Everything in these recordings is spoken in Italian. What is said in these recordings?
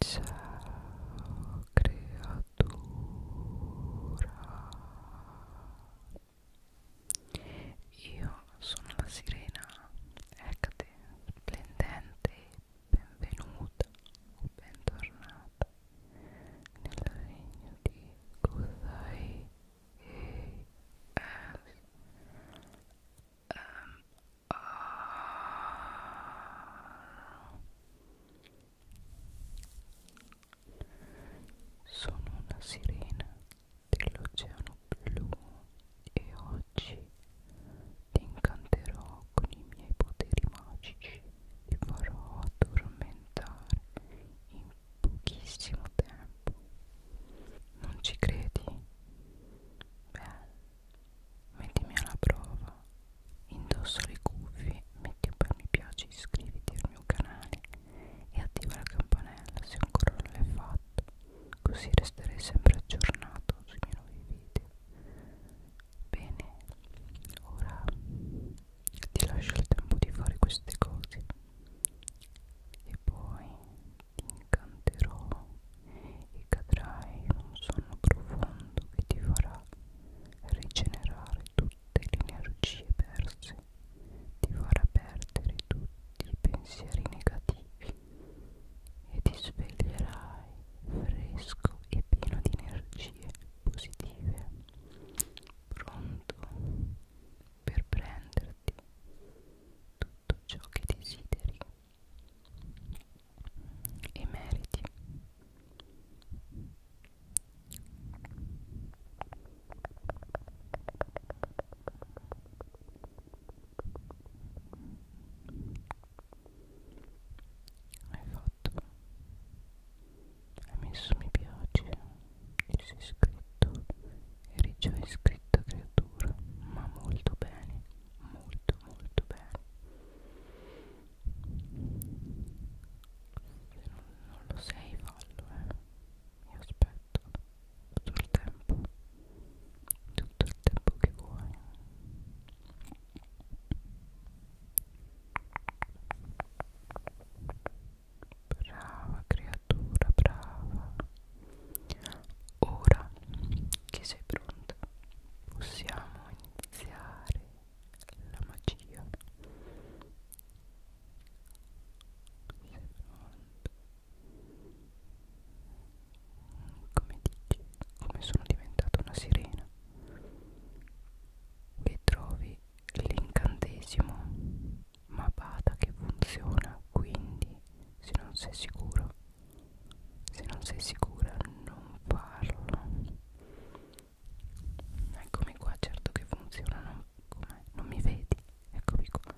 Ciao creatura Io sono la sirena Ecate, splendente, benvenuta o bentornata nel regno di Godai e S. Um, ehm, Ah. Sono una sirena dell'oceano blu e oggi ti incanterò con i miei poteri magici. Ti farò addormentare in pochissimo tempo. Non ci credi? Beh, mettimi alla prova indossa le cuffie metti un bel mi piace iscriviti al mio canale e attiva la campanella se ancora non l'hai fatto così resterai sempre aggiornato sui miei nuovi video bene ora ti lascio il tempo di fare queste cose e poi ti incanterò e cadrai in un sonno profondo che ti farà rigenerare tutte le energie perse, ti farà perdere tutti i pensieri negativi e ti sveglierai fresco e pieno di energie positive, pronto per prenderti tutto ciò che desideri e meriti hai fatto hai messo mi piace ti sei iscritto eri già iscritto creatura ma molto bene molto molto bene se non, non lo sei fallo eh Io aspetto tutto il tempo Tutto il tempo che vuoi Brava creatura, brava Ora che sei pronta possiamo iniziare la magia. Come dici, come sono diventata una sirena che trovi l'incantesimo ma bada che funziona quindi se non sei sicuro se non sei sicura non farlo eccomi qua certo che funziona non, non mi vedi eccomi qua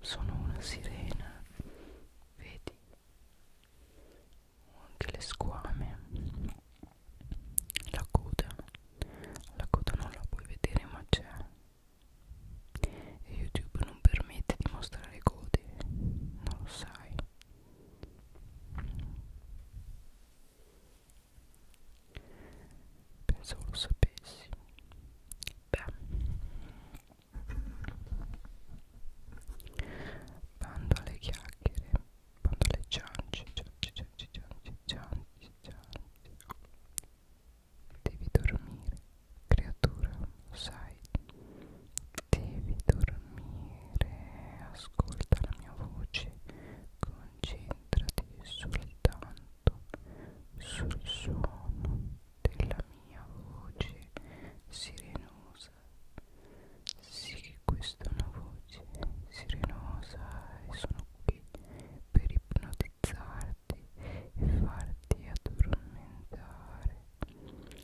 sono una sirena vedi ho anche le squame la coda la coda non la puoi vedere ma c'è e YouTube non permette di mostrare code, non lo sai. Pensavo lo sapessi. Beh, bando alle chiacchiere, bando alle ciance, ciance, ciance, ciance, ciance, ciance. Devi dormire. Creatura, sai, devi dormire, ascolta la mia voce, concentrati soltanto sul suono della mia voce sirenosa. Sì che questa è una voce sirenosa e sono qui per ipnotizzarti e farti addormentare.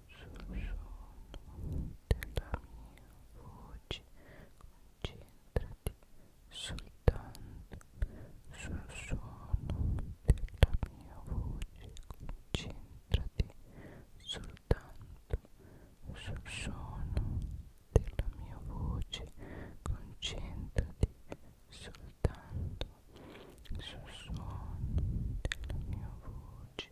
sussurro della mia voce concentrati soltanto sul suono della mia voce concentrati soltanto sul suono della mia voce concentrati soltanto sul suono della mia voce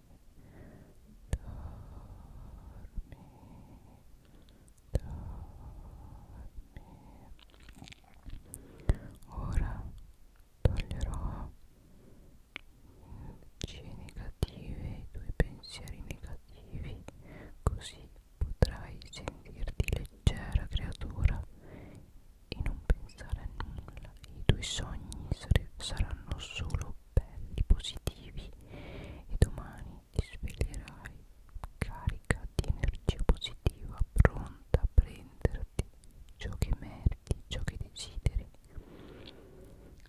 dormi ora toglierò luci negative i tuoi pensieri negativi così potrai sentirti leggera creatura e non pensare a nulla i tuoi sogni saranno solo belli, positivi e domani ti sveglierai carica di energia positiva, pronta a prenderti ciò che meriti, ciò che desideri.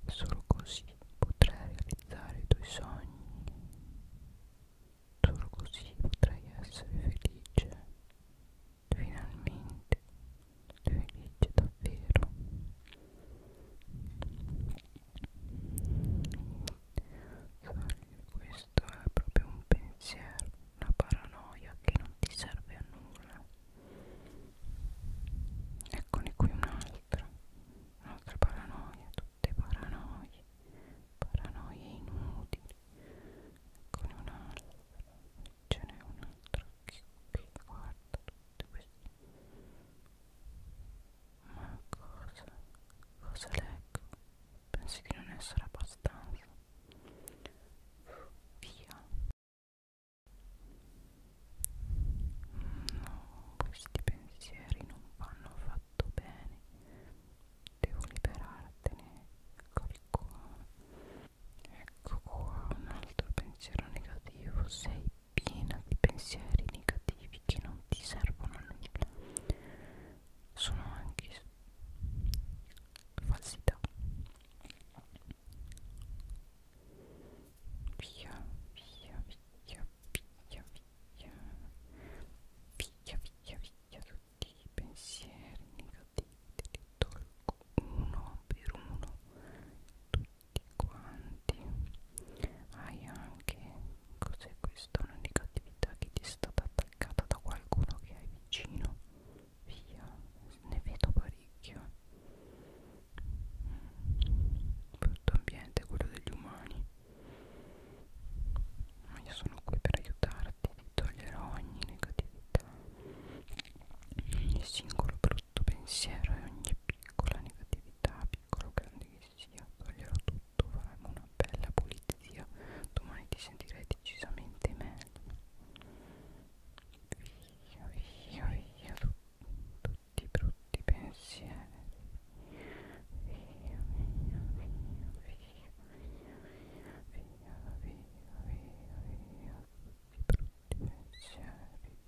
Solo così potrai realizzare i tuoi sogni, solo così potrai essere felice, finalmente felice davvero questo è proprio un pensiero una paranoia che non ti serve a nulla eccone qui un'altra un'altra paranoia tutte paranoie paranoie inutili eccone un'altra ce n'è un'altra qui, qui guarda questo ma cosa cosa leggo pensi di non essere abbastanza via no questi pensieri non vanno affatto bene devo liberartene ecco qua ecco qua un altro pensiero negativo sei piena di pensieri negativi che non ti servono a nulla sono anche falsità via via via via via via via via tutti i pensieri negativi te li tolgo uno per uno tu tutti quanti hai anche cos'è questo una negatività che ti è stata attaccata da qualcuno che hai vicino via ne vedo parecchio brutto ambiente quello degli umani ma io sono qui per aiutarti ti toglierò ogni negatività ogni singolo brutto pensiero e ogni piccola negatività piccolo o grande che sia toglierò tutto faremo una bella pulizia domani ti sentirai decisamente meglio via via via tu, tutti i brutti pensieri via via via via via via via via via tutti i brutti pensieri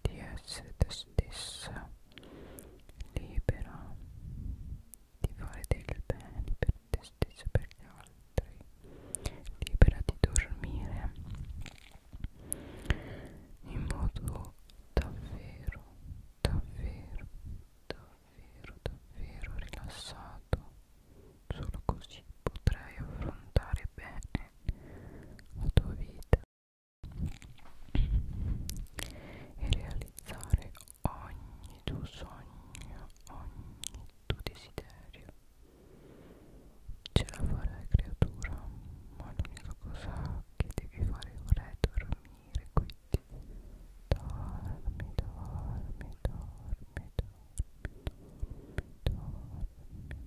di essere te stessa libera di fare del bene per te stessa e per gli altri libera di dormire in modo davvero davvero davvero davvero rilassato solo così potrai affrontare bene la tua vita e realizzare ogni tuo sogno, ogni tuo desiderio. Ce la farai creatura, ma l'unica cosa che devi fare ora è dormire, quindi dormi, dormi, dormi, dormi, dormi, dormi. dormi.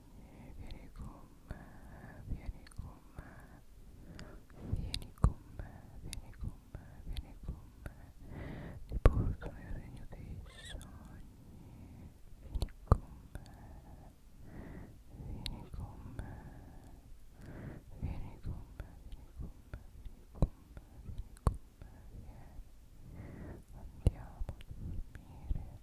vieni con me, vieni con me, vieni con me, vieni con me, vieni con me, ti porto nel regno dei sogni, vieni con me, vieni con me, vieni con me, vieni con me, vieni con me, vieni con me, vieni, andiamo a dormire.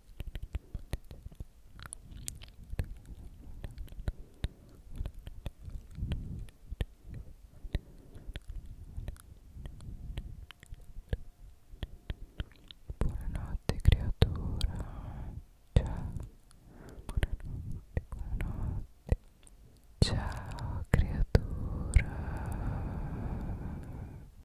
Buonanotte creatura, ciao. Buonanotte, buonanotte. Ciao creatura.